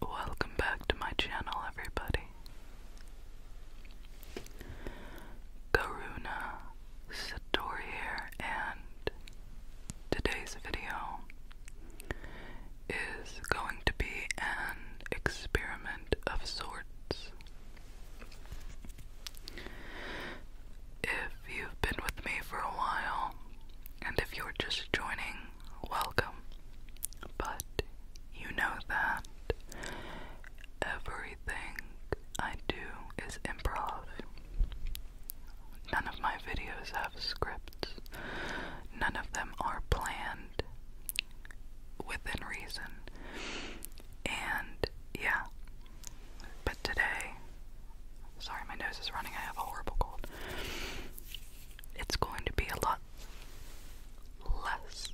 Welcome back to my channel, everybody. Karuna Satori and today's video is going to be an experiment of sorts. If you've been with me for a while, and if you're just joining, welcome. But you know that Everything I do is improv. None of my videos have scripts. None of them are planned within reason. And yeah. But today, sorry, my nose is running. I have a horrible cold. It's going to be a lot less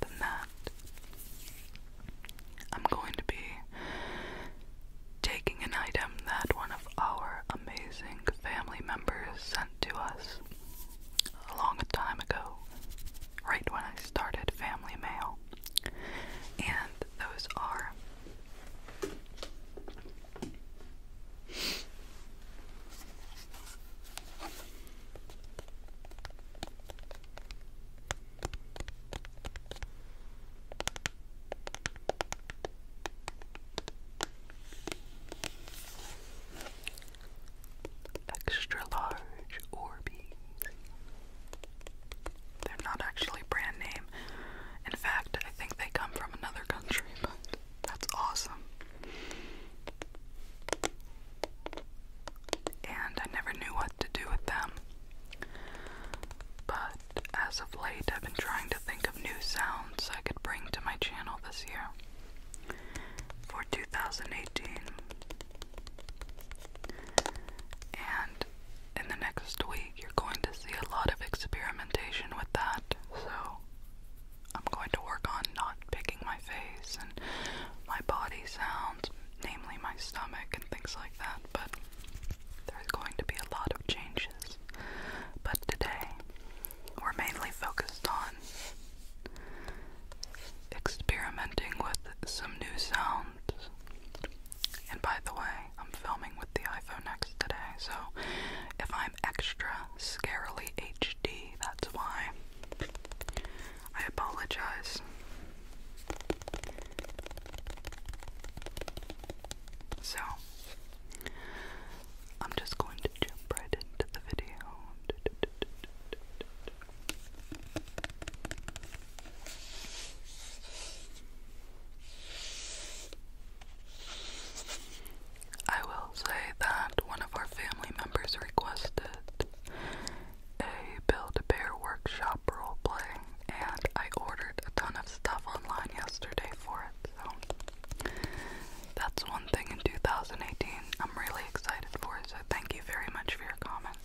than that. I'm going to be taking an item that one of our amazing family members sent to us a long time ago, right when I started Family Mail. And those are Extra large Orbeez. They're not actually brand name. In fact, I think they come from another country, but that's awesome and I never knew what to do with them. But as of late, I've been trying to think of new sounds I could bring to my channel this year for 2018. And in the next week, you're going to see a lot of experimentation with that, so I'm going to work on not picking my face and my body sounds, namely my stomach and things like that, but there's going to be a lot of changes. But today, we're mainly focused on experimenting with some new sounds. And by the way, I'm filming with the iPhone X today, so if I'm extra scarily HD, that's why. I apologize. So, I'm just going to jump right into the video. I will say that one of our family members requested a Build-A-Bear workshop roleplay, and I ordered a ton of stuff online yesterday for it, so that's one thing in 2018 I'm really excited for, so thank you very much for your comment.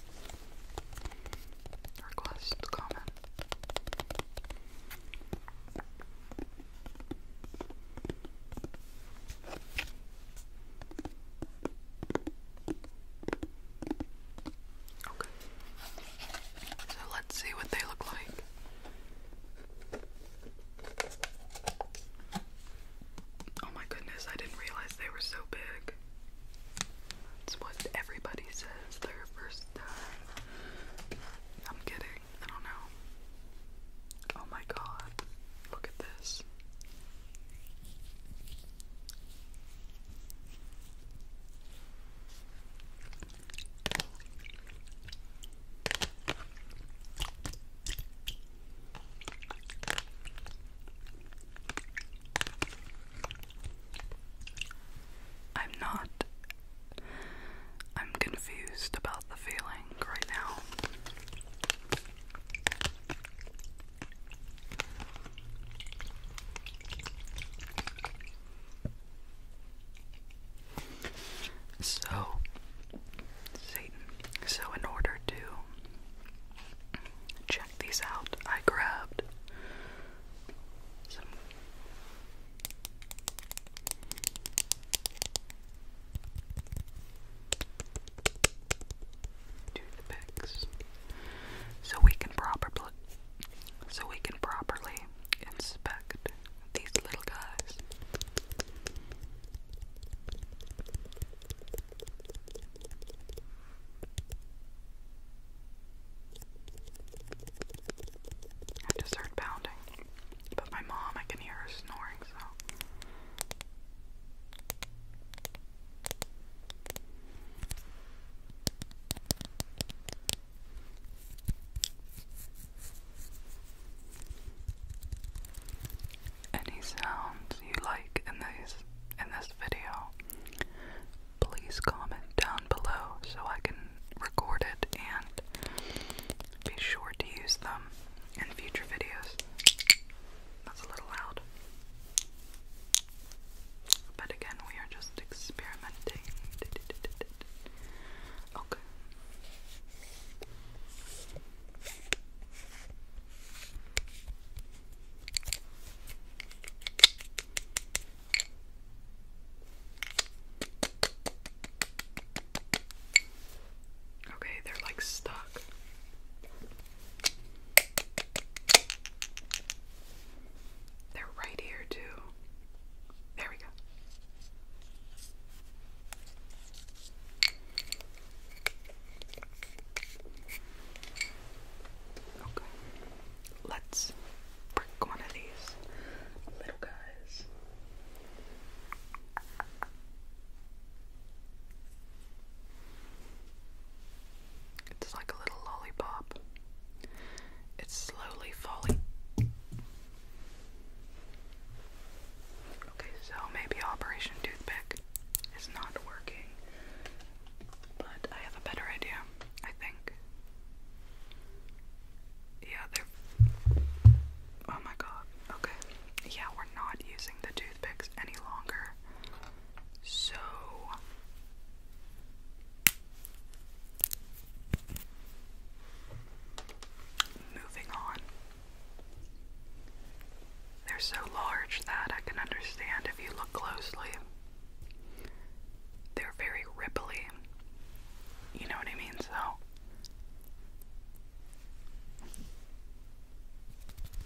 Request comment. Okay. So let's see what they look like. Oh my goodness, I didn't realize they were so big. That's what everybody says their first time. I'm kidding. I don't know. Oh my god, look at this. I'm not. I'm confused about the feeling right now. So, Satan, so in order to check these out, I grabbed some toothpicks so we can properly so we can properly inspect these little guys. I just heard pounding, but my mom, I can hear her snoring, so any sounds you like in these in this video, please comment down below so I can record it and be sure to use them in future videos. That's a little loud. But again, we are just experimenting. Okay. Okay, they're like stuck. They're right here, too. There we go. Okay, let's break one of these little guys. It's like a little lollipop. It's slowly falling. Okay, so maybe Operation Toothpick is not working, but I have a better idea, I think. Yeah, Oh my god. Okay. Yeah, we're not using the two toothpicks any longer. So moving on. They're so large that I can understand if you look closely. They're very ripply. You know what I mean? So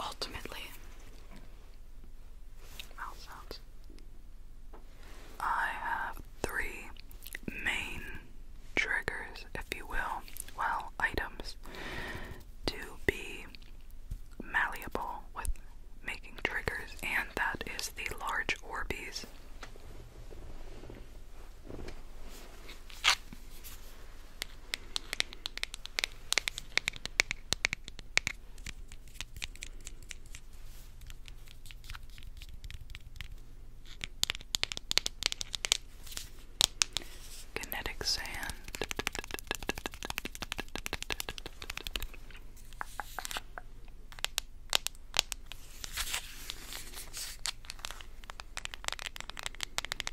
ultimately, mouth sounds. I have three main triggers, if you will, well, items to be malleable with making triggers, and that is the large Orbeez. Kinetic sand. I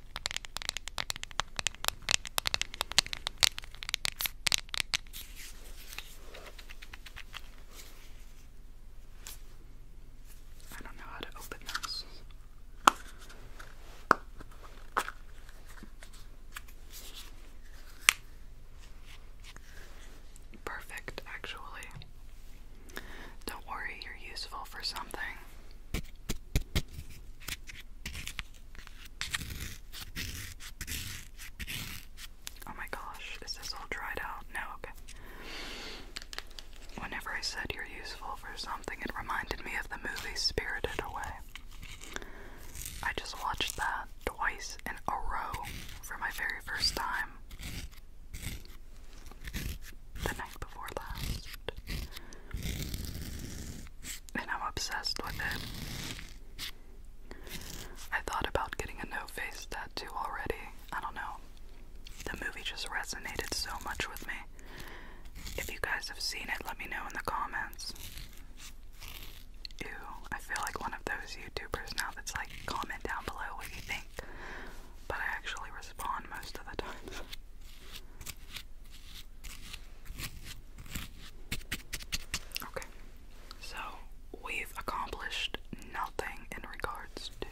don't know how to open this. Perfect, actually. Don't worry, you're useful for something. Oh my gosh, is this all dried out? No, okay. Whenever I said you're useful for something, it reminded me of the movie Spirited Away. I just watched that twice in a row for my very first time. The night before last and I'm obsessed with it. I thought about getting a no face tattoo already. I don't know. The movie just resonated so much with me. If you guys have seen it, let me know in the comments. Ew, I feel like one of those YouTubers now that's like, comment down below what you think. But I actually respond most of the time. Okay, so we've accomplished nothing in regards to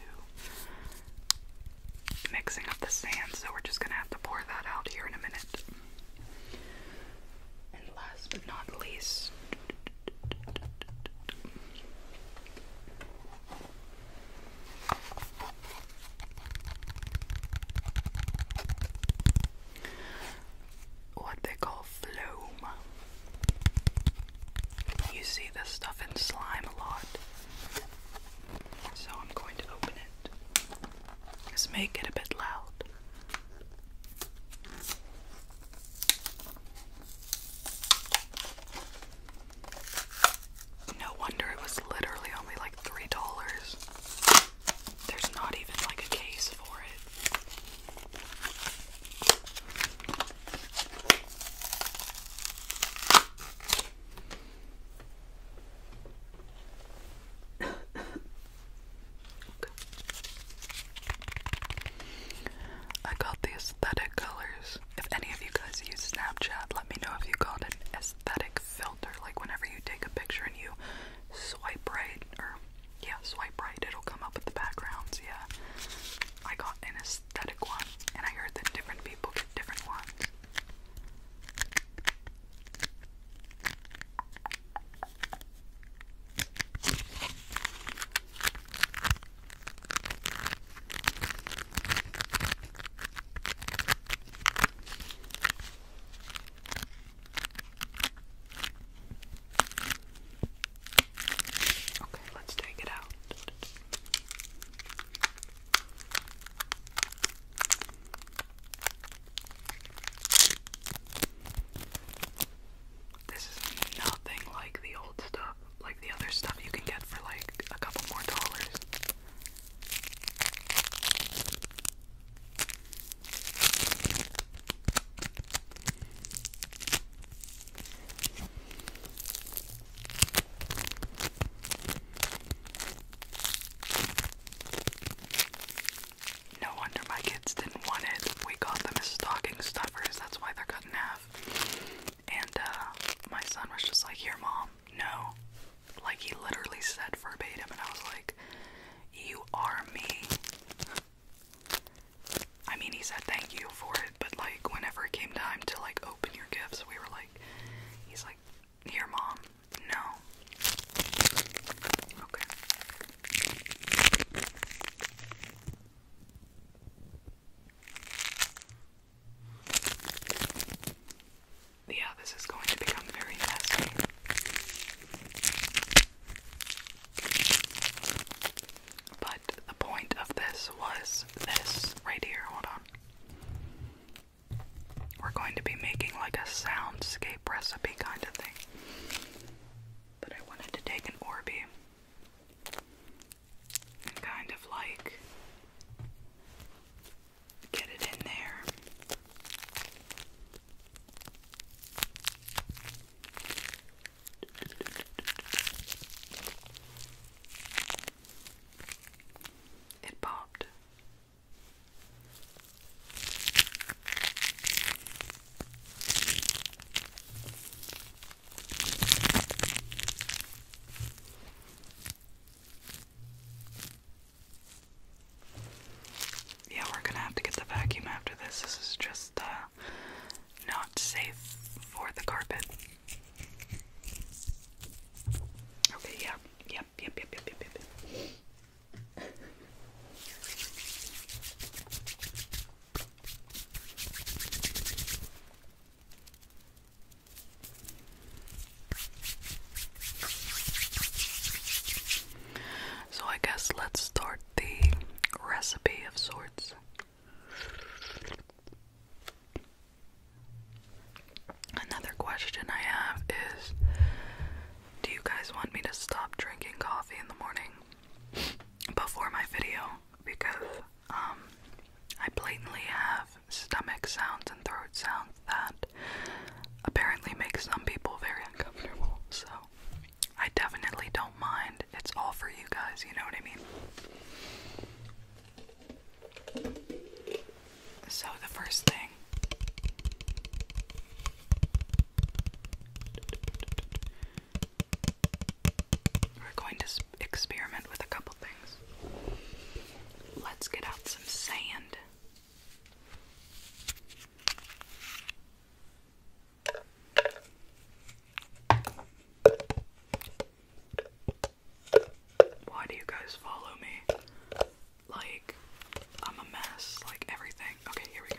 mixing up the sand, so we're just gonna have to pour that out here in a minute. And last but not least, what they call phloem. You see this stuff in slime a lot. So I'm going to open it. Just make it a bit loud. No wonder it was literally only like $3. There's not even like a case for it. I got the aesthetic colors. If any of you guys use Snapchat, let me know if you got an aesthetic filter, like whenever you take a picture and you swipe right, or yeah, swipe right, it'll come up with the backgrounds. Yeah, I got an aesthetic one, and I heard that different people get different ones. Okay, let's take it out. This is nothing like the old stuff, like the other stuff you can get for like a couple more dollars. No wonder my kids didn't want it. We got them as stocking stuffers, that's why they're cut in half. And uh, my son was just like, "Your mom, no. Like, he literally said verbatim, and I was like, you are me. I mean, he said thank you for it, but like, whenever it came time to like open your gifts, we were like, he's like, here, mom, no. Okay yeah, this is going to become very messy. But the point of this was this right here. Hold on. We're going to be making like a soundscape recipe kind of thing. But I wanted to take an Orby and kind of like get it in there. It popped. Yeah, we're gonna have to get the vacuum after this. This is just uh, not safe for the carpet. Okay, yeah. Yep, yep, yep, yep, yep, yep. So I guess let's start the recipe of sorts. Another question I have is do you guys want me to stop drinking coffee in the morning before my video because um, I blatantly have stomach sounds and throat sounds that apparently make some people very uncomfortable. So I definitely don't mind. It's all for you guys, you know what I mean? So the first thing we're going to experiment with a couple things. Let's get out some sand. Why do you guys follow me? Like, I'm a mess, like everything. Okay, here we go.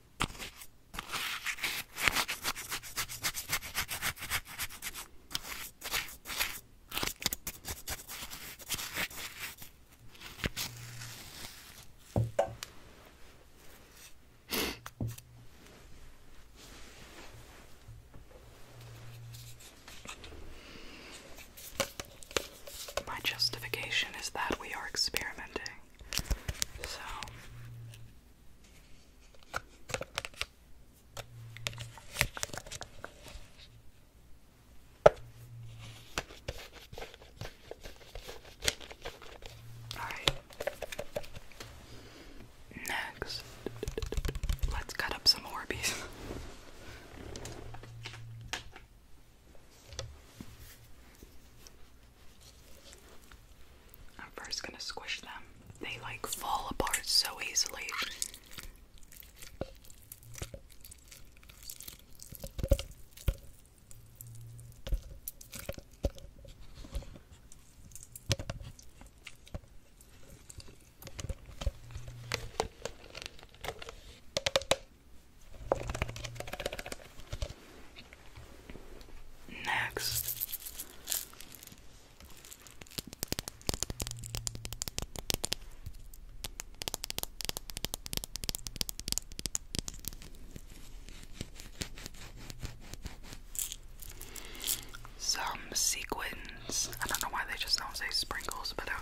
My justification is that we are experimenting. So Alright. Next, let's cut up some Orbeez. I'm first gonna squish them. They like fall apart so easily. Next. Some sequins. I don't know why they just don't say sprinkles, but okay.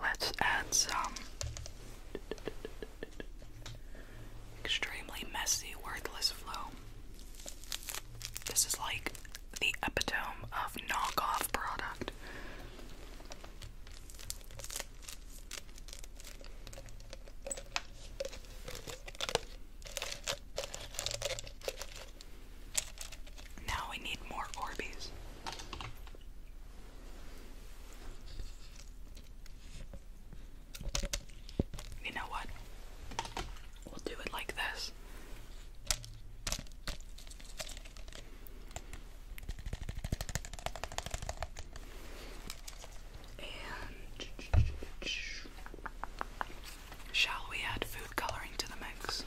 Let's add some extremely messy, worthless flow. This is like the epitome of knockoff product. Now we need more Orbeez. You know what? We'll do it like this. And shall we add food coloring to the mix?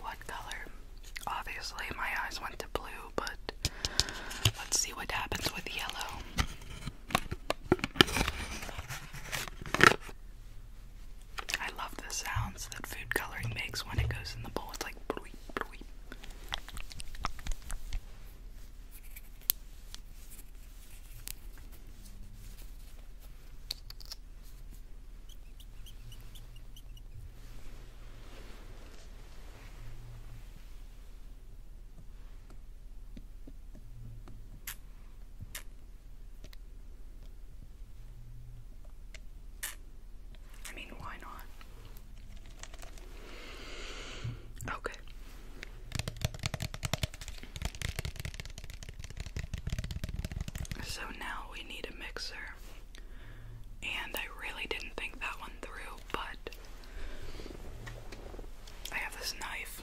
What color? Obviously, my eyes went to blue, but let's see what happens with yellow. I love the sounds that food coloring makes when it goes in the bowl. It's like bloop, bloop. I mean, why not? Okay. So now we need a mixer. And I really didn't think that one through, but I have this knife.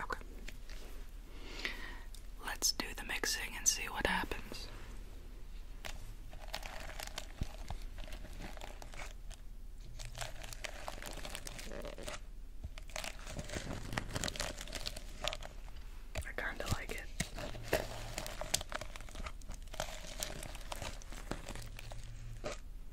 Okay. Let's do the mixing and see what happens. I kind of like it.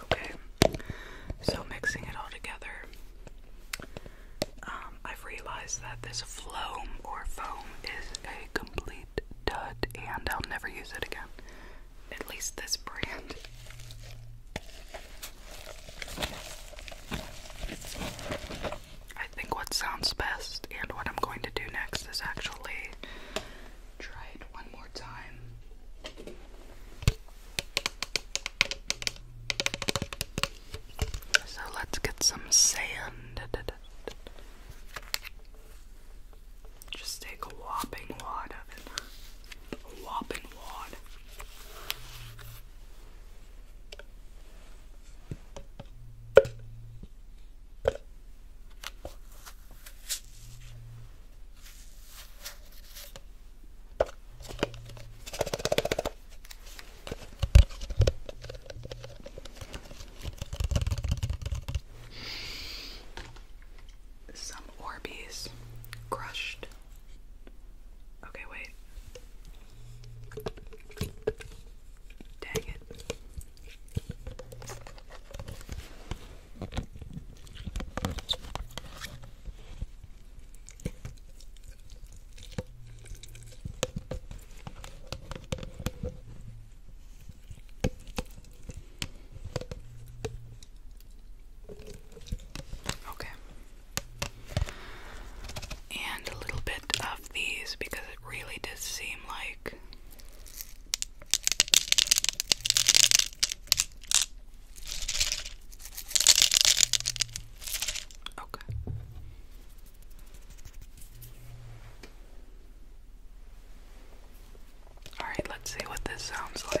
Okay, so mixing it all together, um, I've realized that this floam or foam is a complete dud and I'll never use it again. At least this brand. I think what sounds best and what I'm going to do next is actually try it one more time. So let's get some sand. Just take a whopping wad of it. A whopping wad. Some Orbeez crushed. Okay, wait. Dang it. Okay. And a little bit of these because it really does seem like Alright, let's see what this sounds like.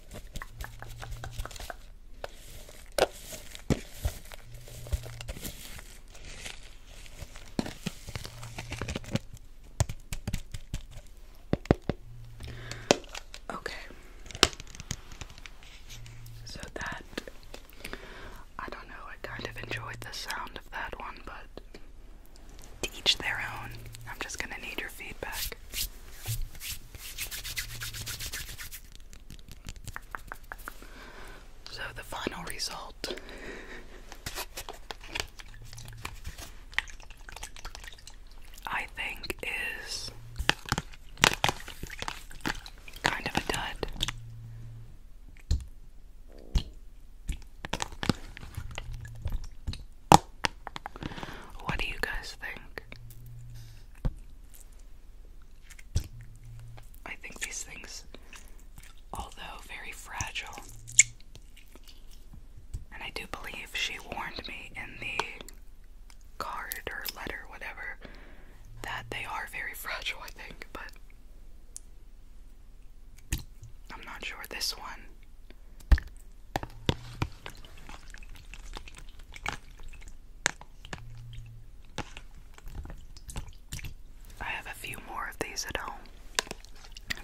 Okay. So that I don't know, I kind of enjoyed the sound of that one, but to each their own. I'm just going to need your feedback. So the final result. I think is kind of a dud. What do you guys think? I think these things, although very fragile, and I do believe she warned me in the card or letter, whatever, that they are very fragile, I think, but I'm not sure this one. I have a few more of these at home.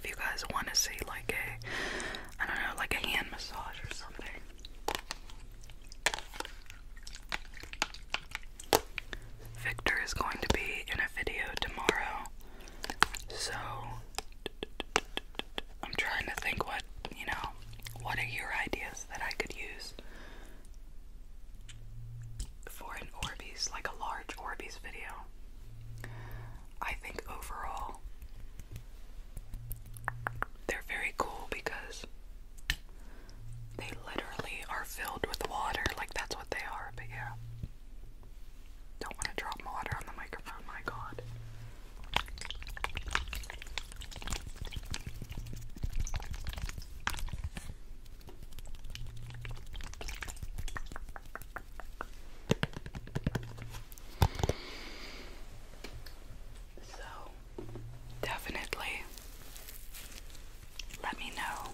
If you guys want to see, like a, I don't know, like a hand massage or something. Victor is going to be in a video tomorrow, so I'm trying to think what, you know, what are your ideas that I could use for an Orbeez, like a large Orbeez video? I think overall they're very cool because they literally are filled with water, like that's what they are, but yeah. Don't want to drop water on the microphone, my god. So, definitely let me know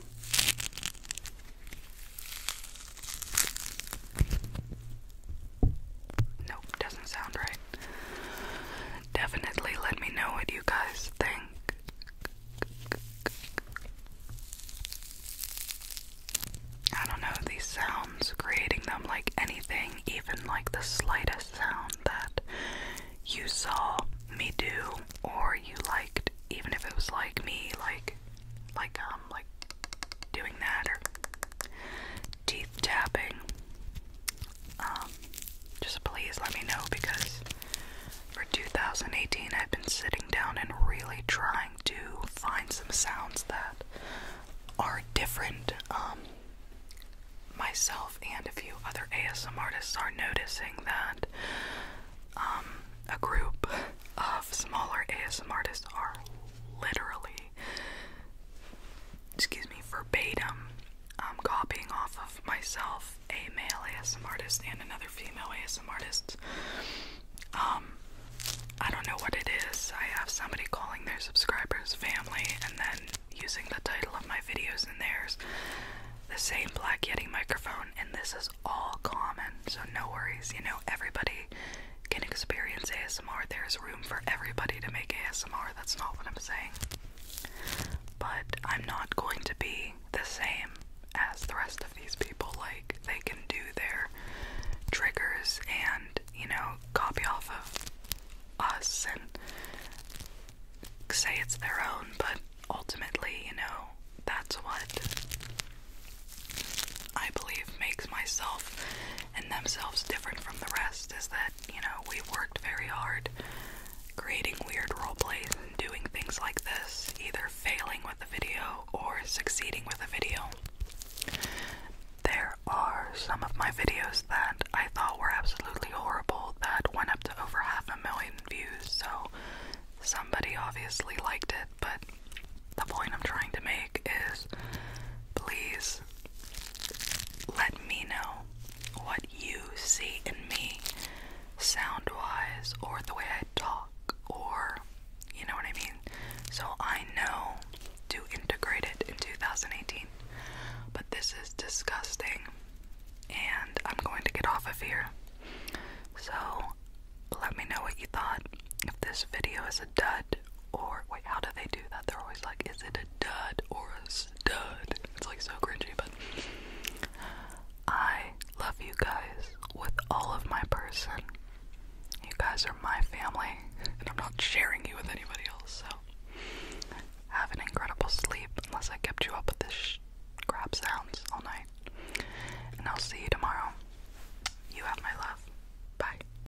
Nope, doesn't sound right. Definitely let me know what you guys think. I don't know, these sounds, creating them like anything, even like the slightest sound that you saw me do or you liked, even if it was like me, like, like, um, like doing that or. T tapping, um, just please let me know because for 2018 I've been sitting down and really trying to find some sounds that are different. Um, myself and a few other ASM artists are noticing that um, a group of smaller ASM artists are literally excuse me, verbatim I'm um, copying off of myself, a male ASM artist and another female ASM artist. Um, I don't know what it is. I have somebody calling their subscribers family and then using the title of my videos And theirs. The same Black Yeti microphone, and this is all common, so no worries. You know, everybody can experience ASMR. There's room for everybody to make ASMR. That's not what I'm saying. But I'm not going to be the same as the rest of these people. Like, they can do their triggers and, you know, copy off of us and say it's their own, but ultimately, you know, that's what I believe makes myself and themselves different from the rest is that, you know, we worked very hard creating weird role plays and doing things like this, either failing with a video or succeeding with a video. There are some of my videos that I thought were absolutely horrible that went up to over half a million views, so somebody obviously liked it, but the point I'm trying to make is please let me know what you see in me, sound wise, or the way I talk, or you know what I mean? So I know to integrate it in 2018. But this is disgusting, and I'm going to get off of here. So let me know what you thought. If this video is a dud or wait, how do they do that? They're always like, is it a dud or a stud? It's like so cringy, but I love you guys with all of my person. You guys are my family, and I'm not sharing you with anybody else, so have an incredible sleep unless I kept you up with this crap sounds all night. And I'll see you tomorrow. You have my love. Bye.